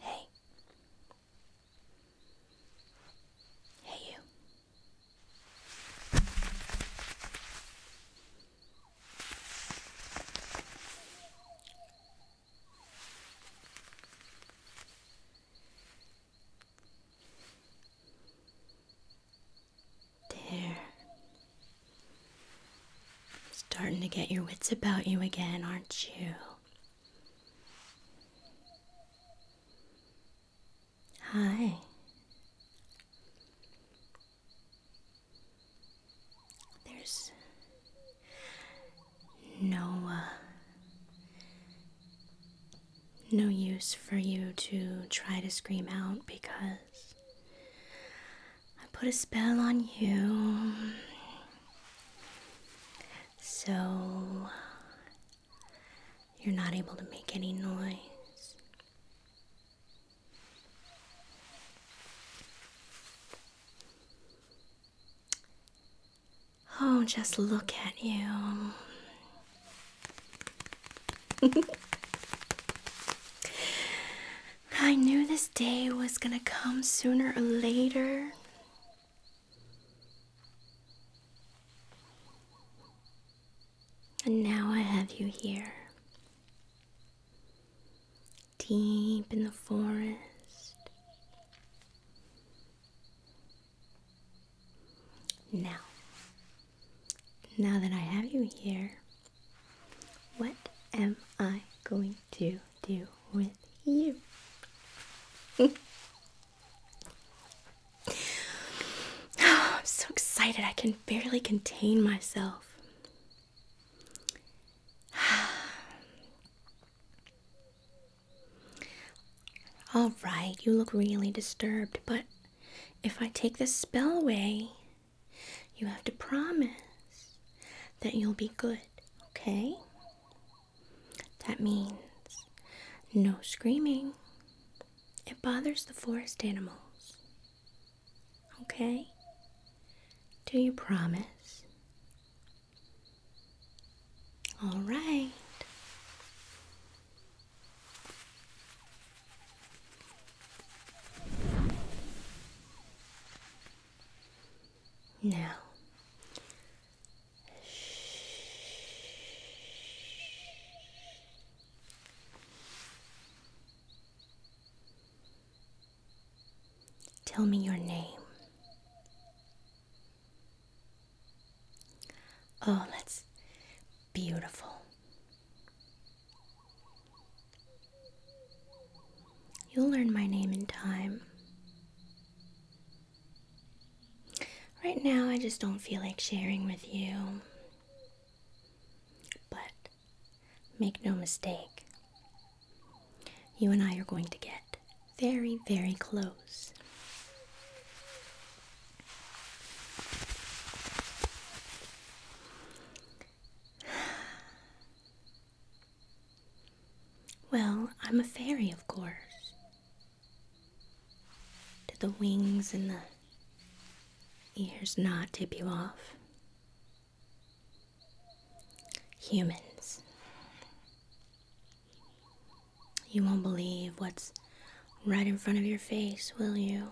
Hey. Hey, you. There. Starting to get your wits about you again, aren't you? Hi. There's no uh, no use for you to try to scream out because I put a spell on you. So you're not able to make any noise. Oh, just look at you. I knew this day was gonna come sooner or later. And now I have you here deep in the forest. Now, now that I have you here, what am I going to do with you? I'm so excited, I can barely contain myself. All right, you look really disturbed, but if I take this spell away, you have to promise that you'll be good, okay? That means no screaming. It bothers the forest animals. Okay? Do you promise? All right. Now, Tell me your name. Oh, that's beautiful. You'll learn my name in time. Right now, I just don't feel like sharing with you. But Make no mistake, you and I are going to get very, very close. Well, I'm a fairy, of course. Did the wings and the ears not tip you off? Humans. You won't believe what's right in front of your face, will you?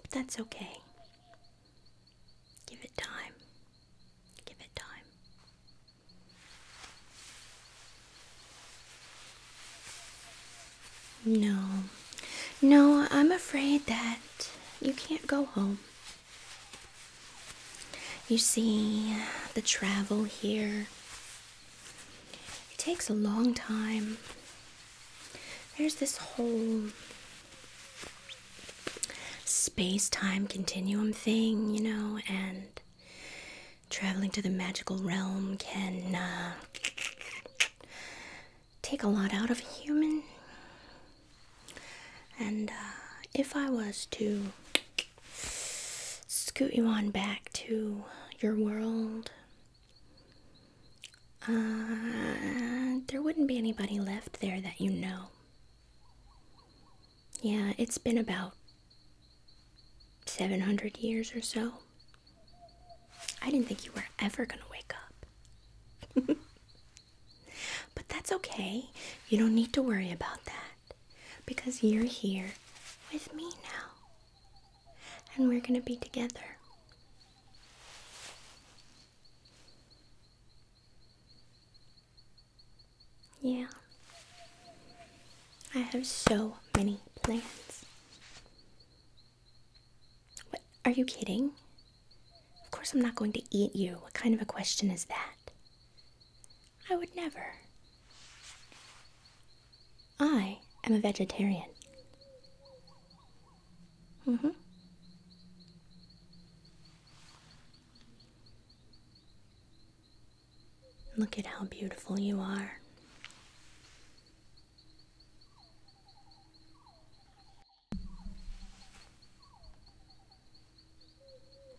But that's okay. Give it time. Give it time. No. No, I'm afraid that you can't go home. You see, the travel here. It takes a long time. There's this whole space time continuum thing, you know, and traveling to the magical realm can uh, take a lot out of a human. And uh, if I was to scoot you on back to your world, uh, there wouldn't be anybody left there that you know. Yeah, it's been about 700 years or so I didn't think you were ever going to wake up. but that's okay. You don't need to worry about that because you're here with me now. And we're going to be together. Yeah. I have so many plans. What? Are you kidding? Of course I'm not going to eat you. What kind of a question is that? I would never. I am a vegetarian. Mm hmm. Look at how beautiful you are.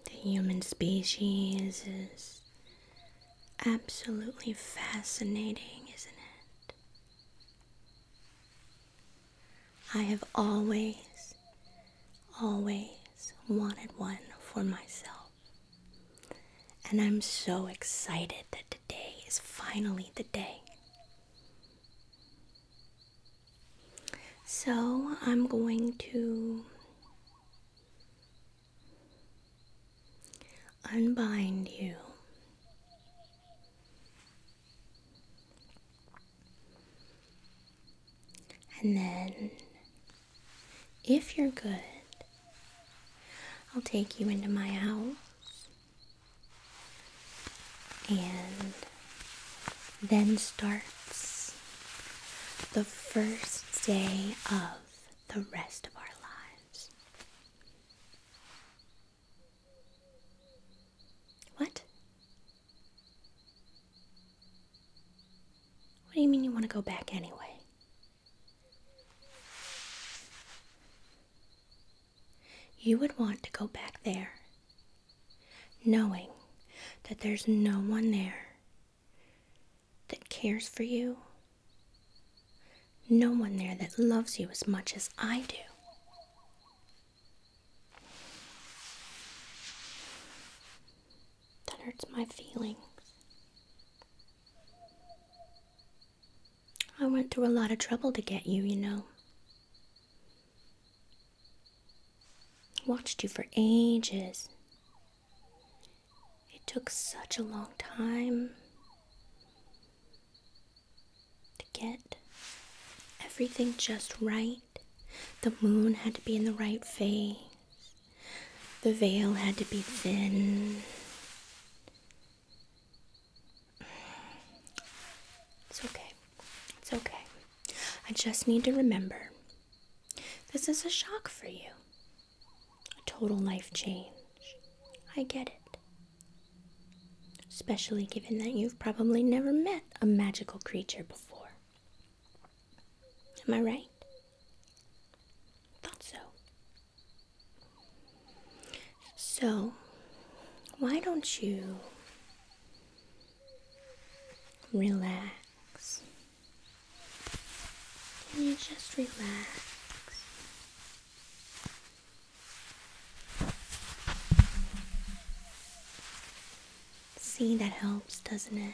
The human species is absolutely fascinating, isn't it? I have always, always wanted one for myself. And I'm so excited that today is finally the day. So I'm going to unbind you. And then, if you're good, I'll take you into my house and then starts the first day of the rest of our lives. What? What do you mean you want to go back anyway? You would want to go back there, knowing that there's no one there that cares for you, no one there that loves you as much as I do. That hurts my feelings. I went through a lot of trouble to get you, you know. Watched you for ages. It took such a long time to get everything just right. The moon had to be in the right phase. The veil had to be thin. It's okay. It's okay. I just need to remember this is a shock for you. A total life change. I get it. Especially given that you've probably never met a magical creature before. Am I right? Thought so. So, why don't you relax? Can you just relax? See, that helps, doesn't it?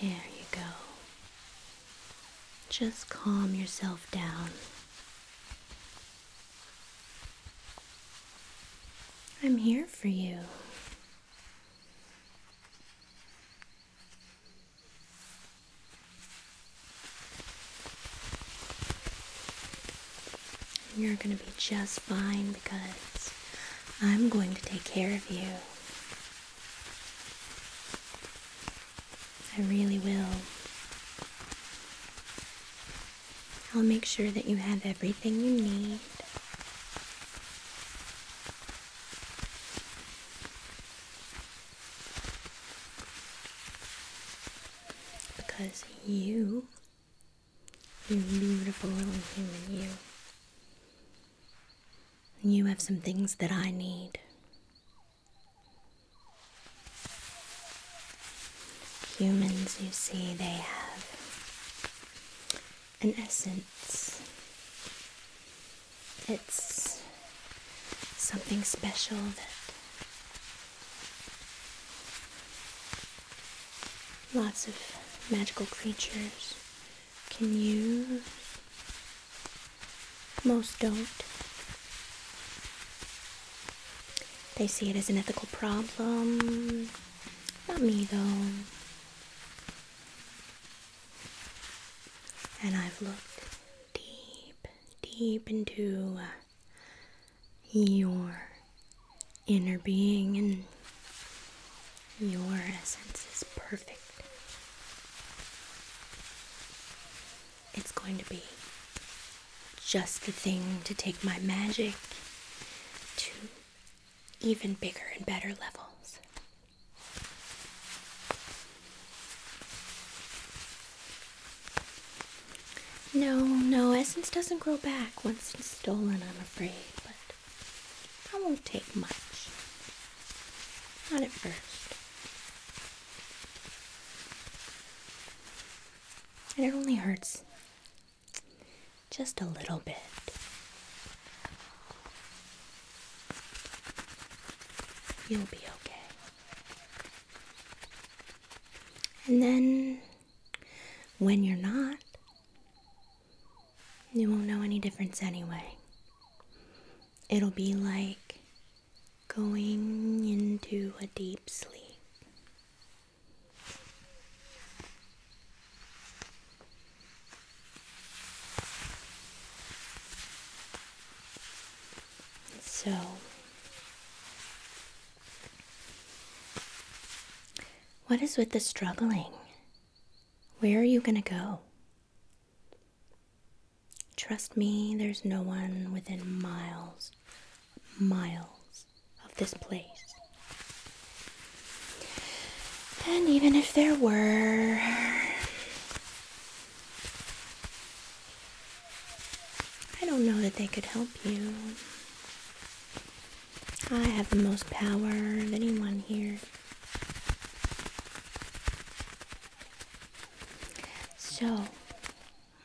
There you go. Just calm yourself down. I'm here for you. You're going to be just fine because I'm going to take care of you. I really will. I'll make sure that you have everything you need. Because you you're beautiful little human, you. you have some things that I need. Humans, you see, they have an essence. It's something special that lots of magical creatures can use. Most don't. They see it as an ethical problem. Not me, though. And I've looked deep, deep into uh, your inner being and your essence is perfect. It's going to be just the thing to take my magic to even bigger and better levels. No, no, essence doesn't grow back once it's stolen, I'm afraid, but that won't take much. Not at first. And it only hurts just a little bit. You'll be okay. And then when you're not, you won't know any difference anyway. It'll be like going into a deep sleep. So, what is with the struggling? Where are you going to go? Trust me, there's no one within miles, miles of this place. And even if there were, I don't know that they could help you. I have the most power of anyone here. So,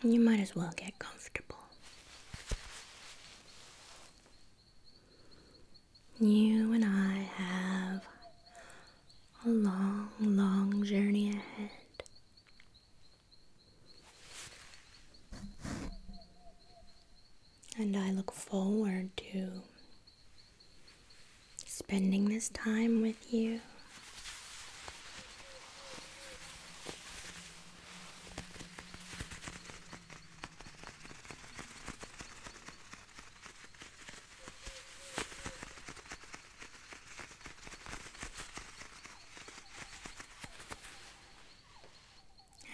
you might as well get comfortable. You and I have a long, long journey ahead. And I look forward to spending this time with you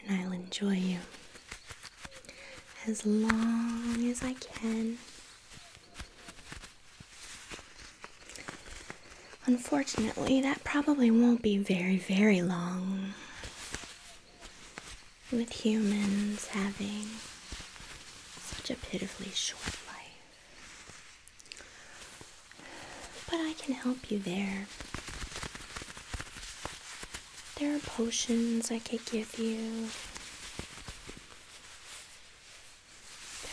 and I'll enjoy you as long as I can. Unfortunately, that probably won't be very, very long. With humans having such a pitifully short life but I can help you there. There are potions I could give you.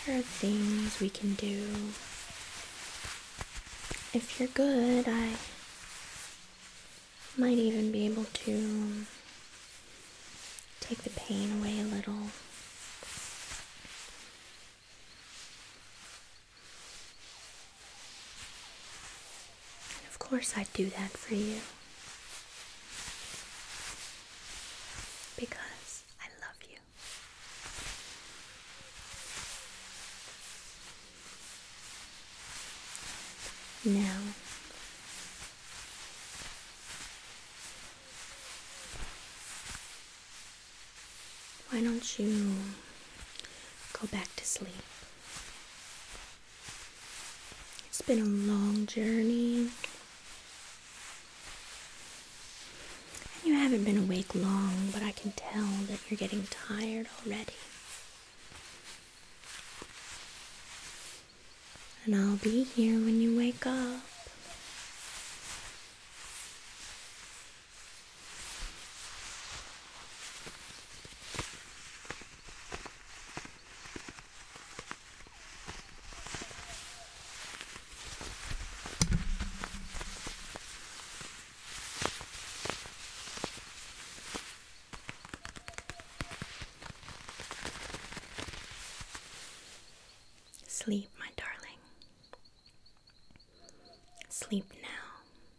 There are things we can do. If you're good, I might even be able to take the pain away a little. Of course, I'd do that for you because I love you. Now, why don't you go back to sleep? It's been a long journey. And you haven't been awake long, but I can tell that you're getting tired already. And I'll be here when you wake up. Sleep, my darling. Sleep now.